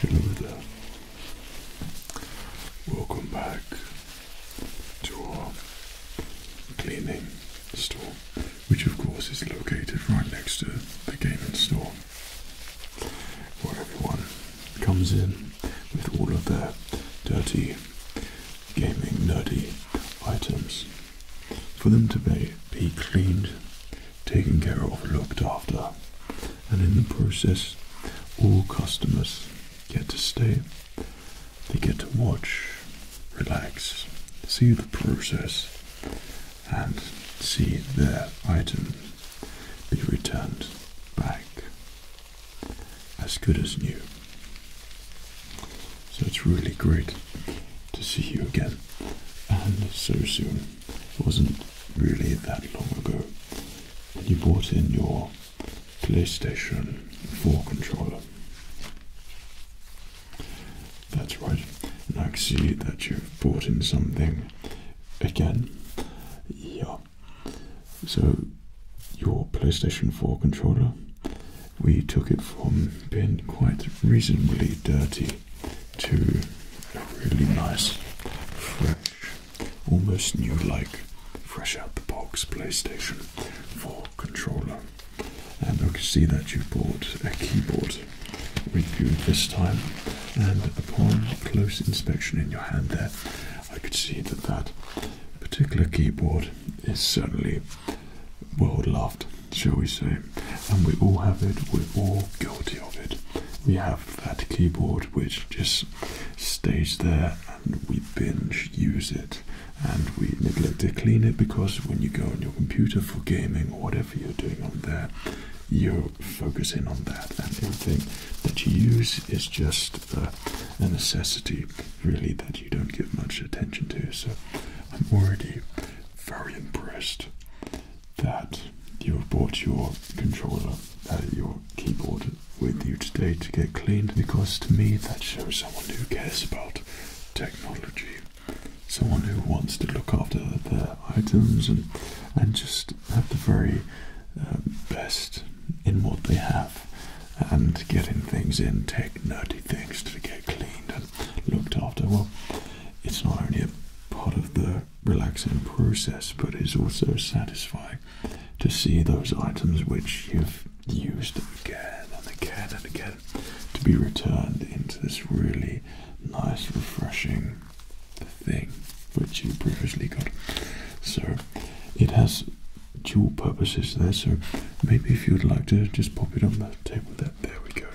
Hello there. Welcome back to our cleaning store, which of course is located right next to the gaming store where everyone comes in with all of their dirty gaming nerdy items for them to be, cleaned, taken care of, looked after, and in the process, all customers get to stay, they get to watch, relax, see the process, and see their items be returned back as good as new. So it's really great to see you again and so soon. It wasn't really that long ago when you brought in your PlayStation 4 controller. That's right. And I see that you've brought in something again. Yeah, so, your PlayStation 4 controller, we took it from being quite reasonably dirty to a really nice, fresh, almost new like, fresh out the box PlayStation 4 controller. And I can see that you bought a keyboard with you this time. And upon close inspection in your hand, there I could see that that particular keyboard is certainly world loved, shall we say. And we all have it, we're all guilty of it. We have that keyboard which just stays there and we binge use it and we neglect to clean it because when you go on your computer for gaming or whatever you're doing on there, you're focus in on that, and everything that you use is just uh, a necessity, really, that you don't give much attention to. So, I'm already very impressed that you have brought your controller, uh, your keyboard, with you today to get cleaned. Because to me, that shows someone who cares about technology, someone who wants to look after their items and and just at the very uh, best in what they have and getting things in, take dirty things to get cleaned and looked after. Well, it's not only a part of the relaxing process, but it's also satisfying to see those items which you've used again and again and again to be returned into this really nice, refreshing thing which you previously got. So it has dual purposes there. So maybe if you'd like to just pop it on the table There we go.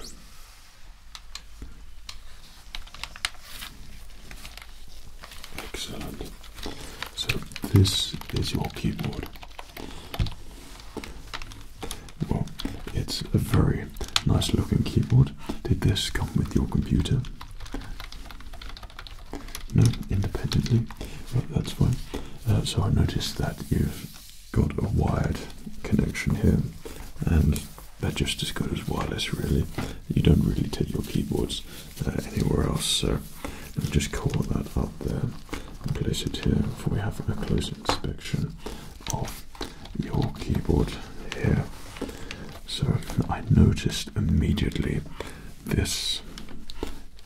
Excellent. So this is your keyboard. Well, it's a very nice looking keyboard. Did this come with your computer? No, independently. that's fine. Uh, so I noticed that you've got a wired connection here, and that just as good as wireless, really. You don't really take your keyboards uh, anywhere else, so i me just call that up there and place it here before we have a close inspection of your keyboard here. So I noticed immediately this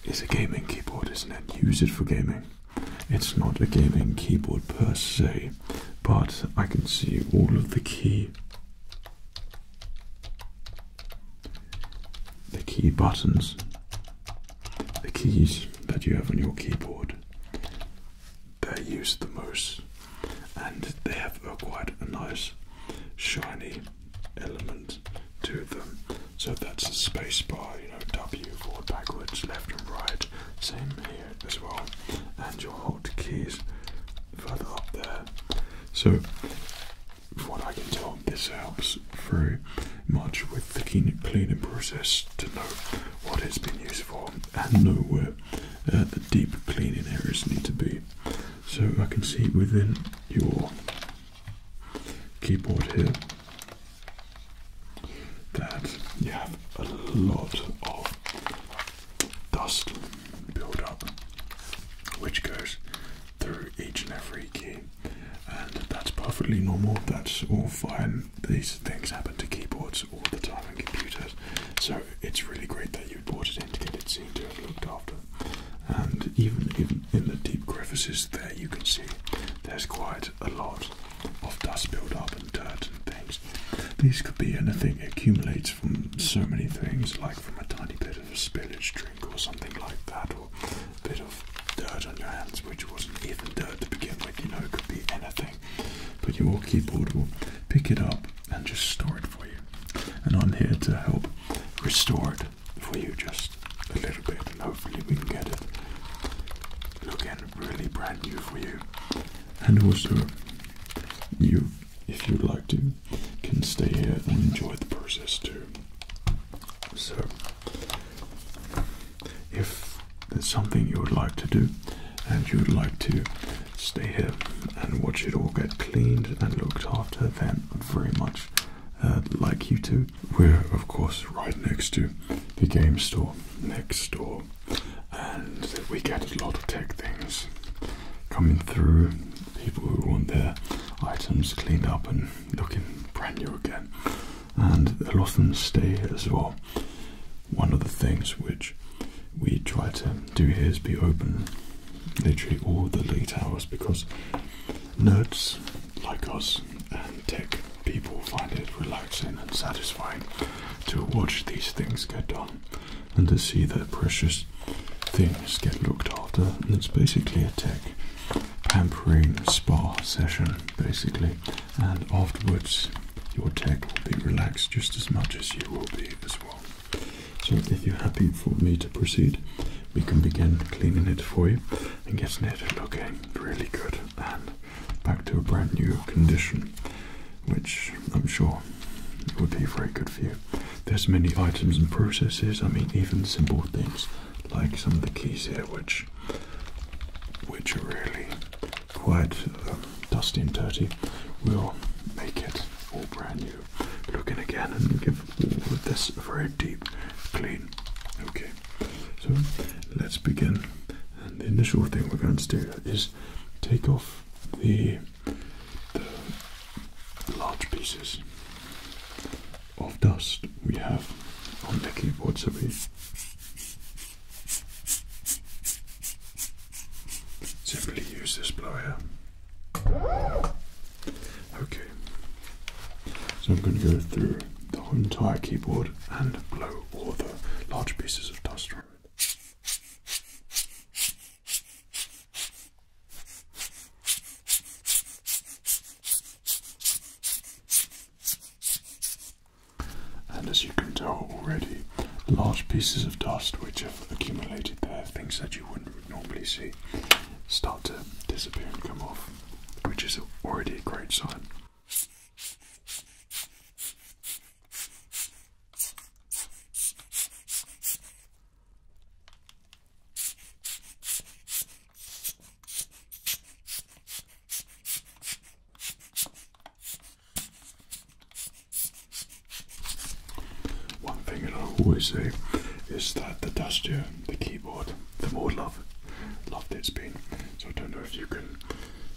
is a gaming keyboard, isn't it? Use it for gaming. It's not a gaming keyboard per se, but I can see all of the key the key buttons, the keys that you have on your keyboard. that are used the most and they have a quite a nice shiny element to them. So that's a space bar, you know, W forward, backwards, left and right. Same here as well. And your alt keys further up there. So what I can tell, this helps very much with the cleaning process to know what it's been used for and know where uh, the deep cleaning areas need to be. So I can see within your keyboard here that you have a lot of dust build up which goes through each and every key and that's perfectly normal that's all fine these things happen to keyboards all the time and computers so it's really great that you you brought it in to get it seen to and looked after. And even in, in the deep crevices there, you can see there's quite a lot of dust build up and dirt and things. These could be anything accumulates from so many things, like from a tiny bit of spillage drink or something like that, or a bit of dirt on your hands, which wasn't even dirt to begin with. You know, it could be anything. But you will pick it up, and just store it for you and I'm here to help restore it for you just a little bit, and hopefully we can get it looking really brand new for you. And also, you, if you'd like to, can stay here and enjoy the process too. So, if there's something you would like to do, and you would like to stay here and watch it all get cleaned and looked after then very much uh, like you two. We're of course right next to the game store next door and we get a lot of tech things coming through, people who want their items cleaned up and looking brand new again and a lot of them stay here as well. One of the things which we try to do here is be open literally all the late hours because nerds like us and tech people find it relaxing and satisfying to watch these things get done and to see their precious things get looked after. it's basically a tech pampering spa session, basically, and afterwards your tech will be relaxed just as much as you will be as well. So if you're happy for me to proceed, we can begin cleaning it for you and getting it looking really good and back to a brand new condition, which I'm sure would be very good for you. There's many items and processes, I mean even simple things like some of the keys here which which are really quite um, dusty and dirty will make it all brand new you look in again and give this a very deep clean. Okay, so let's begin. And the initial thing we're going to do is take off the, large pieces of dust we have on the keyboard. So Simply use this blower. Okay. So I'm going to go through the entire keyboard and blow all the large pieces of dust from it. And as you can tell already, large pieces of dust which have accumulated there, things that you wouldn't normally see start to disappear and come off, which is already a great sign. One thing that I always say is that the duster, the keyboard, the more love, love it's been. So I don't know if you can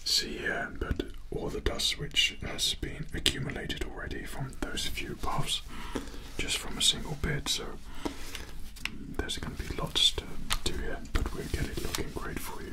see here, but all the dust which has been accumulated already from those few puffs, just from a single bit. So mm, there's going to be lots to do here, but we'll get it looking great for you.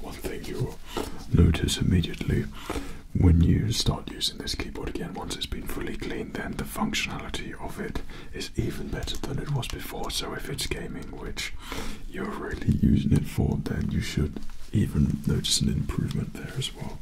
One thing you will notice immediately when you start using this keyboard again, once it's been fully cleaned, then the functionality of it is even better than it was before. So if it's gaming, which you're really using it for, then you should even notice an improvement there as well.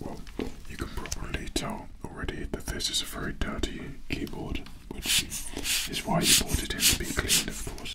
Well, you can probably tell already that this is a very dirty keyboard, which is why you bought it in to be cleaned, of course.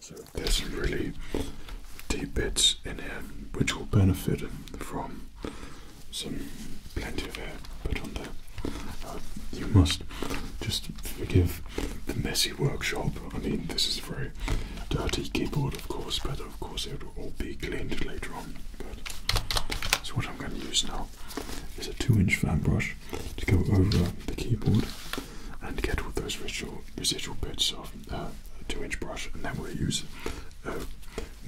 So there's some really deep bits in here which will benefit from some plenty of air put on there. Uh, you must just forgive the messy workshop. I mean, this is a very dirty keyboard, of course, but of course it will all be cleaned later on. So what I'm going to use now is a two-inch fan brush to go over the keyboard and get all those residual, bits of uh, a two-inch brush, and then we'll use a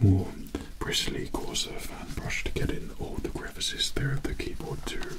more bristly, coarser fan brush to get in all the crevices there at the keyboard too.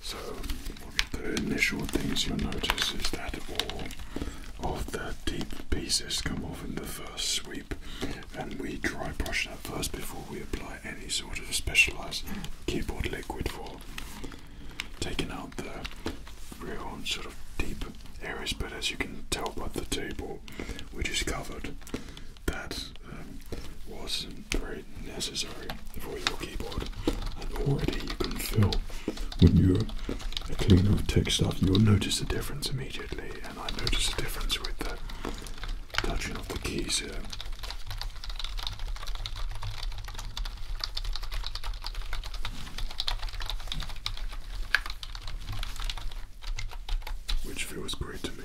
So the initial things you'll notice is that all of the deep pieces come off in the first sweep and we dry brush that first before we apply any sort of specialised keyboard liquid for taking out the real sort of deep areas but as you can tell by the table which is covered that um, wasn't very necessary for your keyboard and already you can feel when you're a cleaner of tick stuff you'll notice the difference immediately and I notice the difference with the touching of the keys here. Which feels great to me.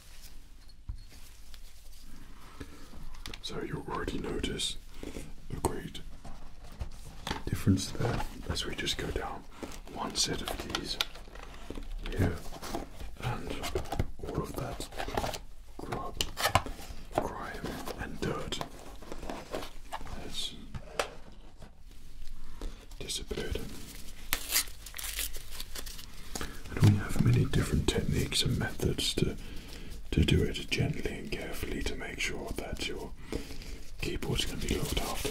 So you already notice a great difference there as we just go down one set of keys here and all of that grub, grime and dirt has disappeared. And we have many different techniques and methods to to do it gently and carefully to make sure that your keyboard is going to be looked after.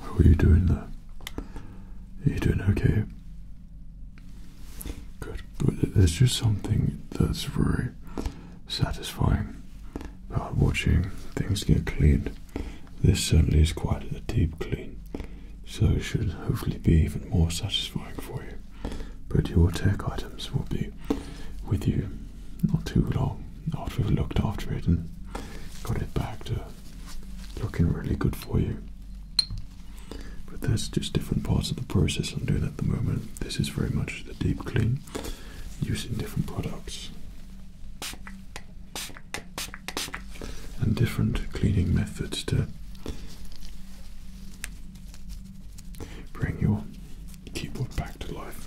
How are you doing there? Are you doing okay? Good, but there's just something that's very satisfying about watching things get cleaned. This certainly is quite a deep clean, so it should hopefully be even more satisfying for you. But your tech items will be with you not too long after we've looked after it and got it back to looking really good for you. But that's just different parts of the process I'm doing at the moment. This is very much the deep clean using different products and different cleaning methods to bring your keyboard back to life.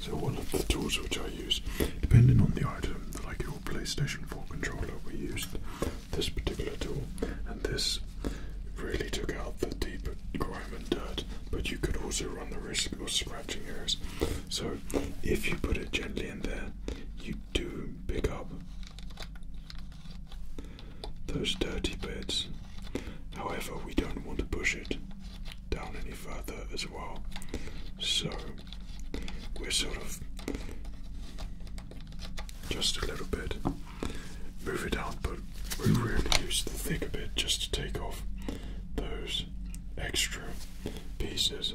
So one of the tools which I use, depending on the item, like your PlayStation 4 controller, we used this particular tool, and this really took out the deep grime and dirt, but you could also run the risk of scratching areas. So if you put it gently in there, you do pick up those dirty bits. However, we don't want to push it down any further as well. So we're sort of just a little bit move it out, but we really use the thicker bit just to take off those extra pieces.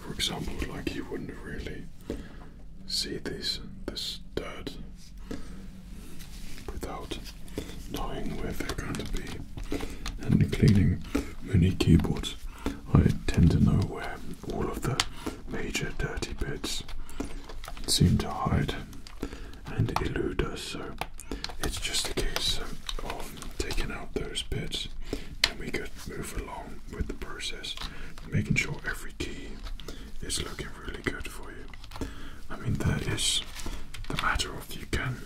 For example, like you wouldn't really see this this dirt without knowing where they're going to be and cleaning many keyboards I tend to know where all of the major dirty bits seem to hide and elude us, so it's just a case of taking out those bits and we could move along with the process, making sure every key is looking really good for you. I mean, that is the matter of you can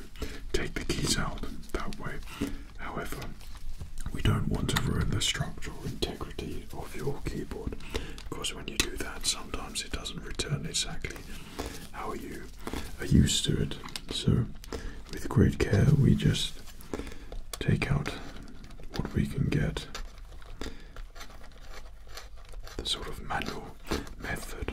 take the keys out that way However, we don't want to ruin the structural integrity of your keyboard because when you do that, sometimes it doesn't return exactly how you are used to it. So, with great care, we just take out what we can get the sort of manual method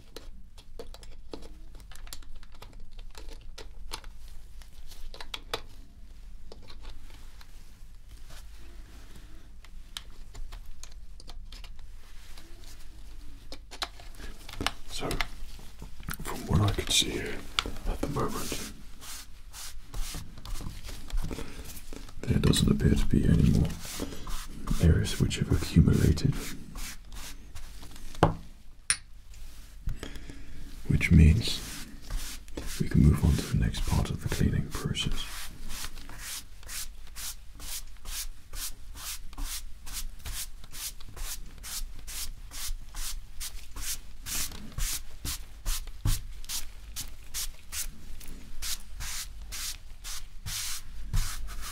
So, from what I can see here at the moment, there doesn't appear to be any more errors which have accumulated which means we can move on to the next part of the cleaning process.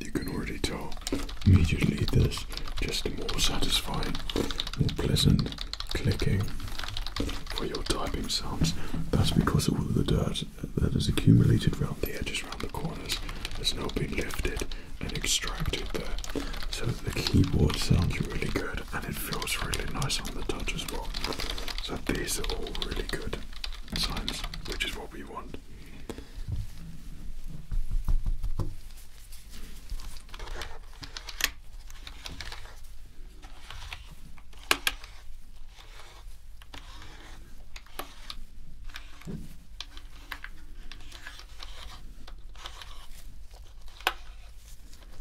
You can already tell immediately this just more satisfying, more pleasant clicking for your typing sounds. That's because all of the dirt that has accumulated around the edges, around the corners, has now been lifted and extracted there. So the keyboard sounds really good and it feels really nice on the touch as well. So these are all really good signs, which is what we want.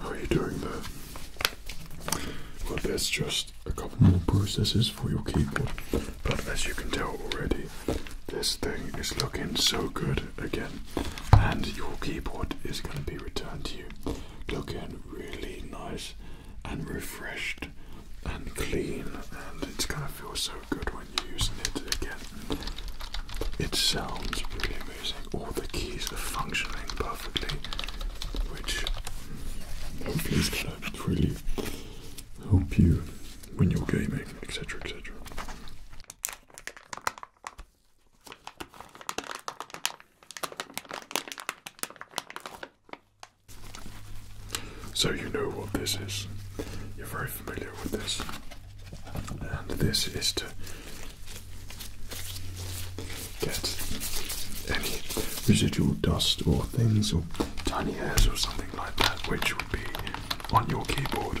How are you doing there? Well, there's just a couple more processes for your keyboard, but as you can tell already, this thing is looking so good again, and your keyboard is going to be returned to you looking really nice and refreshed and clean and it's gonna feel so good when you're using it again. It sounds really amazing. All the keys are functioning perfectly, which hopefully is gonna really help you when you're gaming, etc. etc. So you know what this is. You're very familiar with this. And this is to get any residual dust or things or tiny hairs or something like that which would be on your keyboard.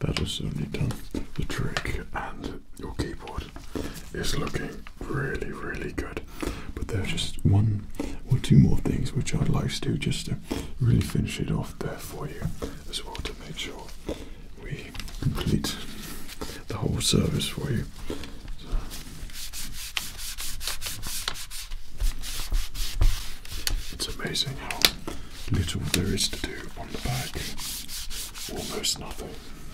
that has certainly done the trick, and your keyboard is looking really, really good. But there's just one or two more things which I'd like to do just to really finish it off there for you as well to make sure we complete the whole service for you. It's amazing how little there is to do on the back. Almost nothing.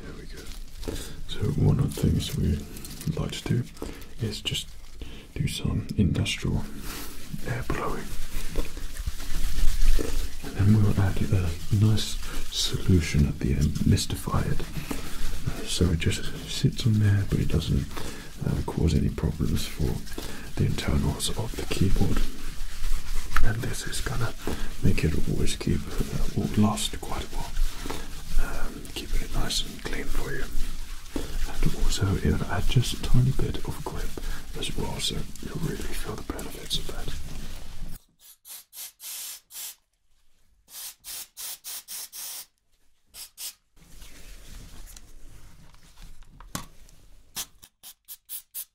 There we go. So one of the things we like to do is just do some industrial air blowing. And then we'll add a nice solution at the end, mystify it. Uh, so it just sits on there but it doesn't uh, cause any problems for the internals of the keyboard. And this is gonna make it always keep uh, last quite a while. Um, it nice and clean for you. And also it'll add just a tiny bit of grip as well, so you'll really feel the benefits of that.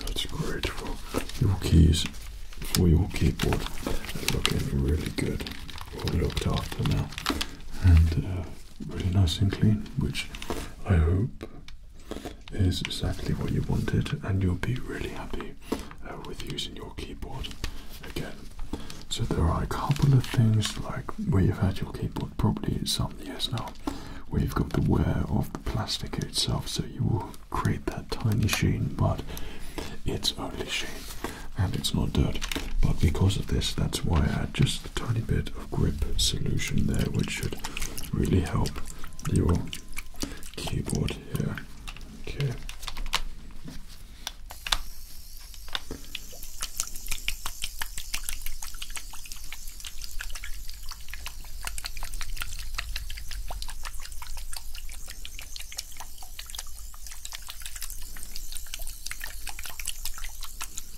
That's great for your keys, for your keyboard. They're looking really good, well looked after now, and uh, really nice and clean, which I hope is exactly what you wanted and you'll be really happy uh, with using your keyboard again. So there are a couple of things like where you've had your keyboard probably some years now where you've got the wear of the plastic itself so you will create that tiny sheen but it's only sheen and it's not dirt but because of this that's why I just a tiny bit of grip solution there, which should really help your keyboard here. Okay.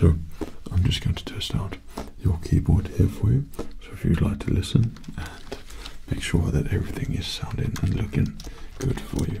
So, I'm just going to test out your keyboard here for you. So, if you'd like to listen and make sure that everything is sounding and looking good for you.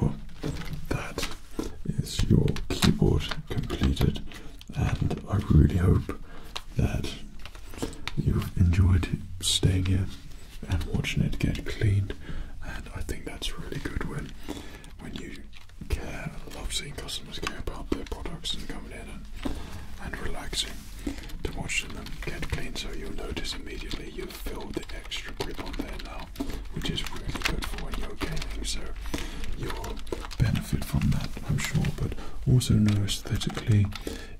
Well, that is your keyboard completed, and I really hope that you enjoyed staying here and watching it get cleaned. And I think that's really good when when you care. love seeing customers care about their products and coming in and, and relaxing to watching them get clean. So you'll notice immediately you've filled the extra grip on there now, which is really good for when you're gaming. So you'll benefit from that, I'm sure. But also know aesthetically,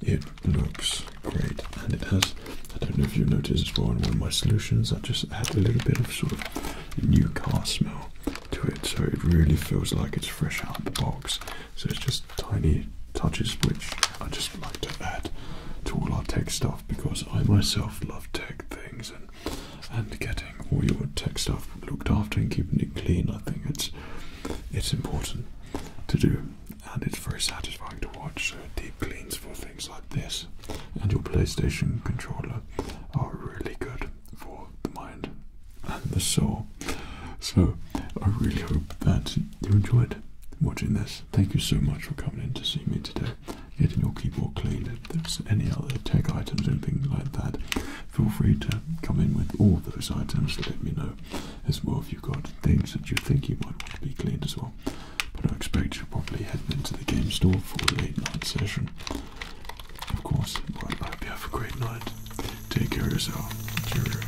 it looks great and it has I don't know if you have noticed as well in one of my solutions I just add a little bit of sort of new car smell to it so it really feels like it's fresh out of the box so it's just tiny touches which I just like to add to all our tech stuff because I myself love tech things and and getting all your tech stuff looked after and keeping it clean I think it's it's important to do and it's very satisfying to watch. So uh, deep cleans for things like this and your PlayStation controller are really good for the mind and the soul. So I really hope that you enjoyed watching this. Thank you so much for coming in to see me today. Getting your keyboard cleaned. If there's any other tech items, things like that, feel free to come in with all those items. Let me know as well if you've got things that you think you might want to be cleaned as well but I expect you're probably heading into the game store for a late night session. Of course, I hope you have a great night. Take care of yourself. Cheerio.